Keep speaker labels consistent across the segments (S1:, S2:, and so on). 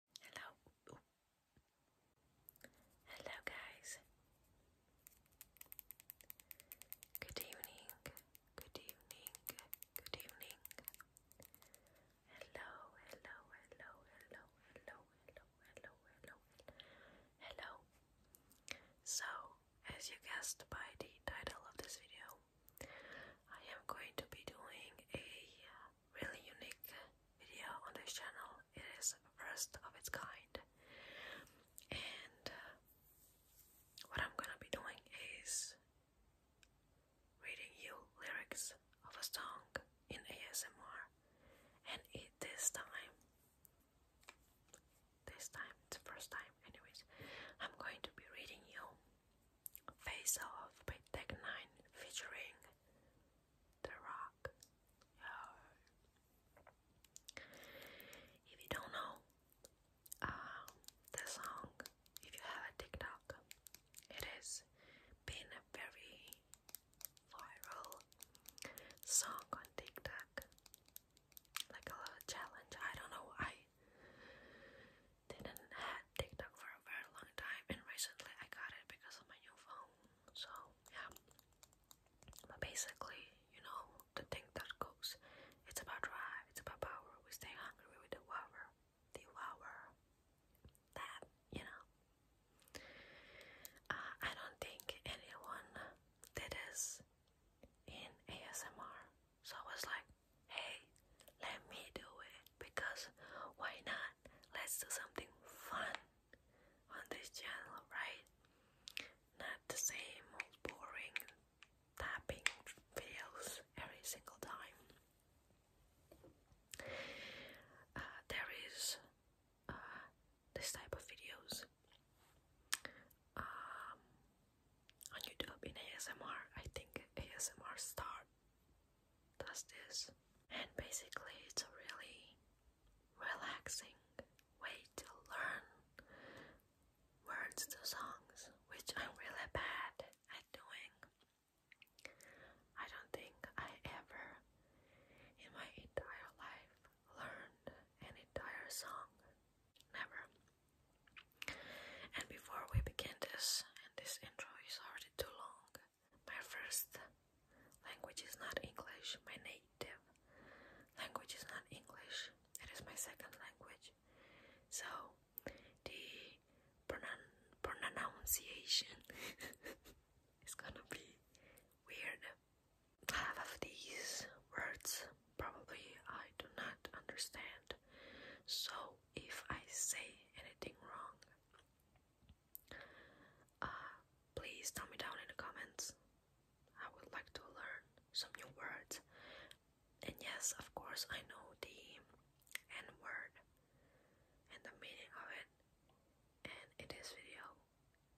S1: Hello. Hello, guys. Good evening. Good evening. Good evening. Hello, hello, hello, hello, hello, hello, hello, hello, hello. So, as you guessed by the title of this video, I am going to be doing a really unique video on this channel. It is first of its kind. And uh, what I'm gonna be doing is reading you lyrics of a song in ASMR. And it, this time, this time, it's the first time, anyways, I'm going to be reading you Face Off by Tech Nine featuring The Rock. If you don't know um, the song, if you have a TikTok, it been a very viral song on TikTok, like a challenge. I don't know. I didn't had TikTok for a very long time, and recently I got it because of my new phone. So yeah, but basically, you know, the thing that goes, it's about drive, it's about power. We stay hungry, we devour, devour that, you know. Uh, I don't think anyone did this in ASMR. So I was like, hey, let me do it because why not? Let's do something fun on this channel, right? Not the same old boring tapping videos every single time. Uh, there is uh, this type of videos. Um, on YouTube in ASMR. I think ASMR Star does this. And basically, it's a really relaxing way to learn words to songs, which I'm really bad at doing. I don't think I ever in my entire life learned an entire song. Never. And before we begin this, and this intro is already too long, my first language is not English, my native language is not English, it is my second language. So, the pronoun pronunciation is gonna be weird. Half of these words probably I do not understand. So if I say anything wrong, uh, please tell me down in the comments. I would like to learn some new words. And yes, of course, I know the N word and the meaning of it. And in this video,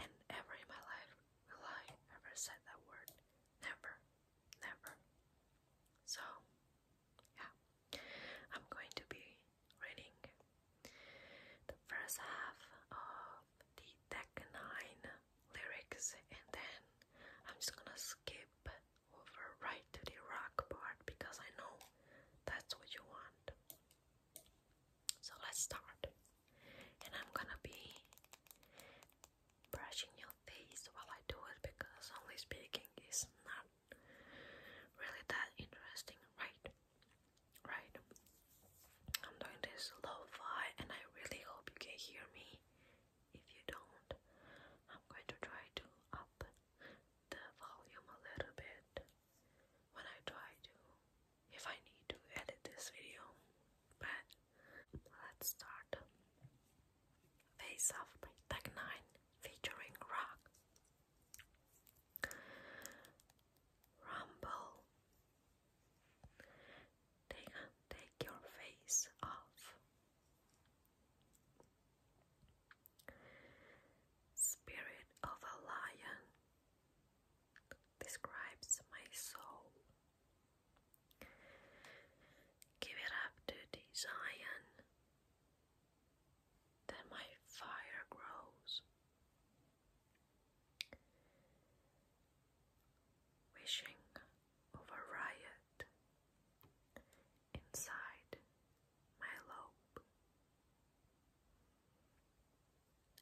S1: and ever in my life will I ever said that word. Never, never. So, yeah, I'm going to be reading the first half of the Tech Nine lyrics, and then I'm just gonna skip over right to the rock part because I know that's what you want. So let's start and I'm gonna be brushing your face while I do it because only speaking is not really that interesting, right? Right? I'm doing this low fi and I really hope you can hear me. If you don't, I'm going to try to up the volume a little bit when I try to if I need to edit this video. But let's start. Face Off by Tech 9 featuring Rock. Rumble. Take, take your face off. Spirit of a Lion describes my soul. Give it up to the Zion, then my fire grows. Wishing of a riot inside my lobe.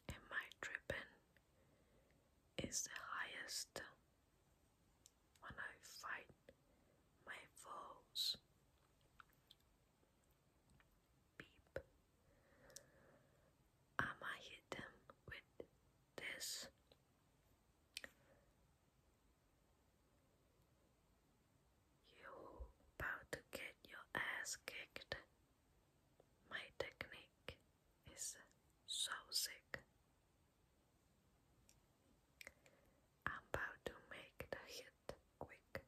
S1: Am I Is the highest when I fight my foes. Beep. i am hit them with this. You about to get your ass kicked. My technique is so sick. about to make the hit quick.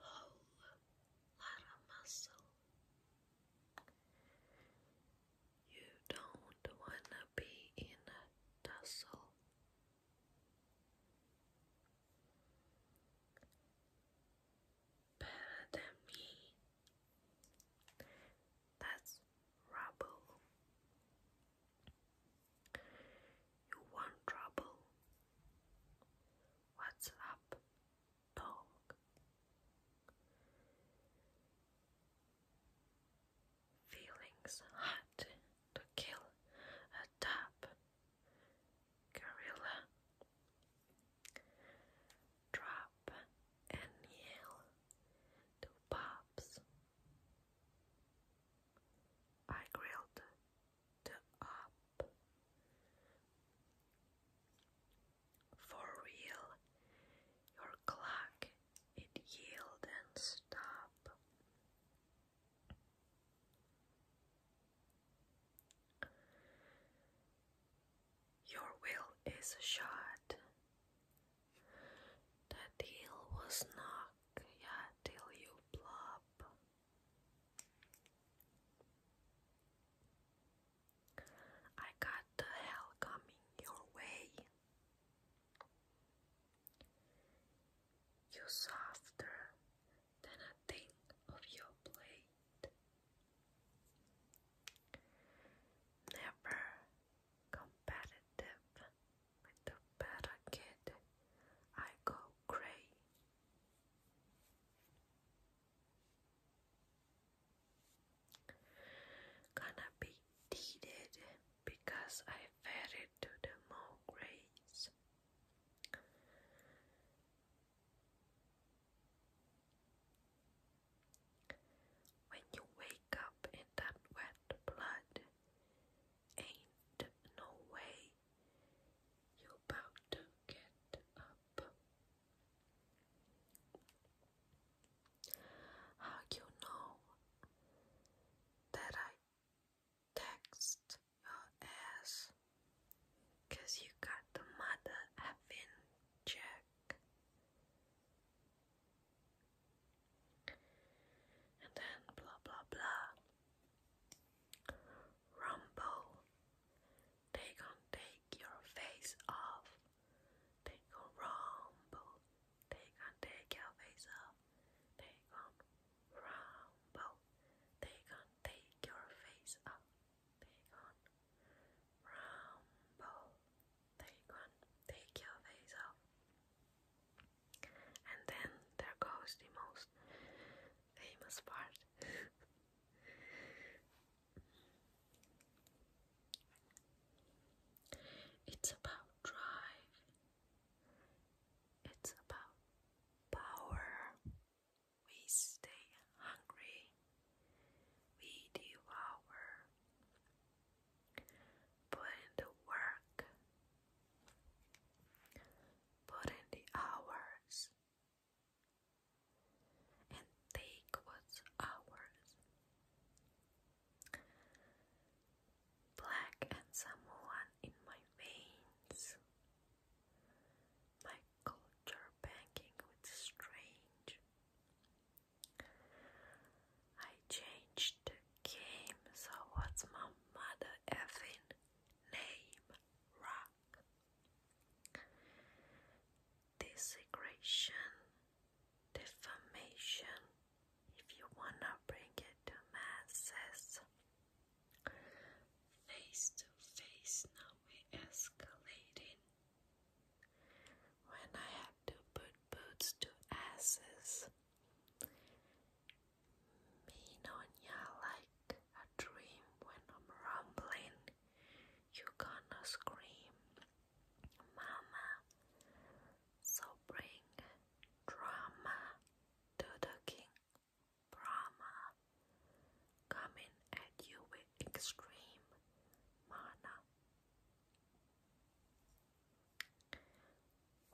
S1: Whole lot of muscle. You don't wanna be in a tussle. Better than me. That's rubble. You want trouble? What's up, dog? Feelings had to kill a dab gorilla. Drop and yell to pops. I grilled up for real. Your clock it yield and stop. Your will is shot. The deal was knock, yeah, till you plop. I got the hell coming your way. You softer than a thing of your plate. Never competitive with the better kid. I go gray gonna be needed because I fed it to the mole grays. When you wake up in that wet blood, ain't no way you' about to get up. How you know that I text your ass? Cause you got the mother effing check. And then blah blah blah. Rumble, they gon' take your face off. Take on Rumble. Take on Take Your Face Off. Take on Rumble. Take on Take Your Face Off. Take on Rumble. Take on Take Your Face Off. And then there goes the most famous part. It's about drive. It's about power. We stay hungry. We devour. Put the work. Put the hours and take what's ours. Black and someone in my veins, my culture banking with strange. I changed the game, so what's my mother effing name? Rock desecration, defamation, if you wanna bring it to masses. Face to face, now we're escalating. When I had to put boots to asses, me on ya like a dream when I'm rumbling you're gonna scream, Mama. So bring drama to the king, Brahma, coming at you with extreme mana.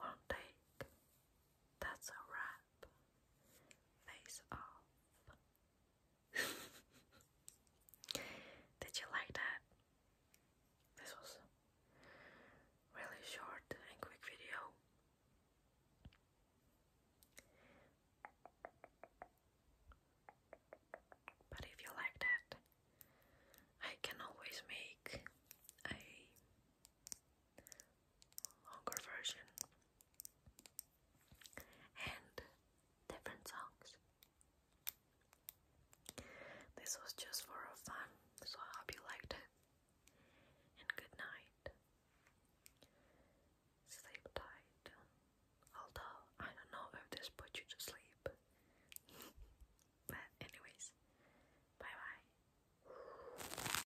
S1: One take, that's a wrap. Face off. Did you like that? This was really short and quick video. But if you like that, I can always make a longer version and different songs. This was just for fun, so I hope you liked it. And good night. Sleep tight. Although I don't know if this put you to sleep. but anyways, bye bye.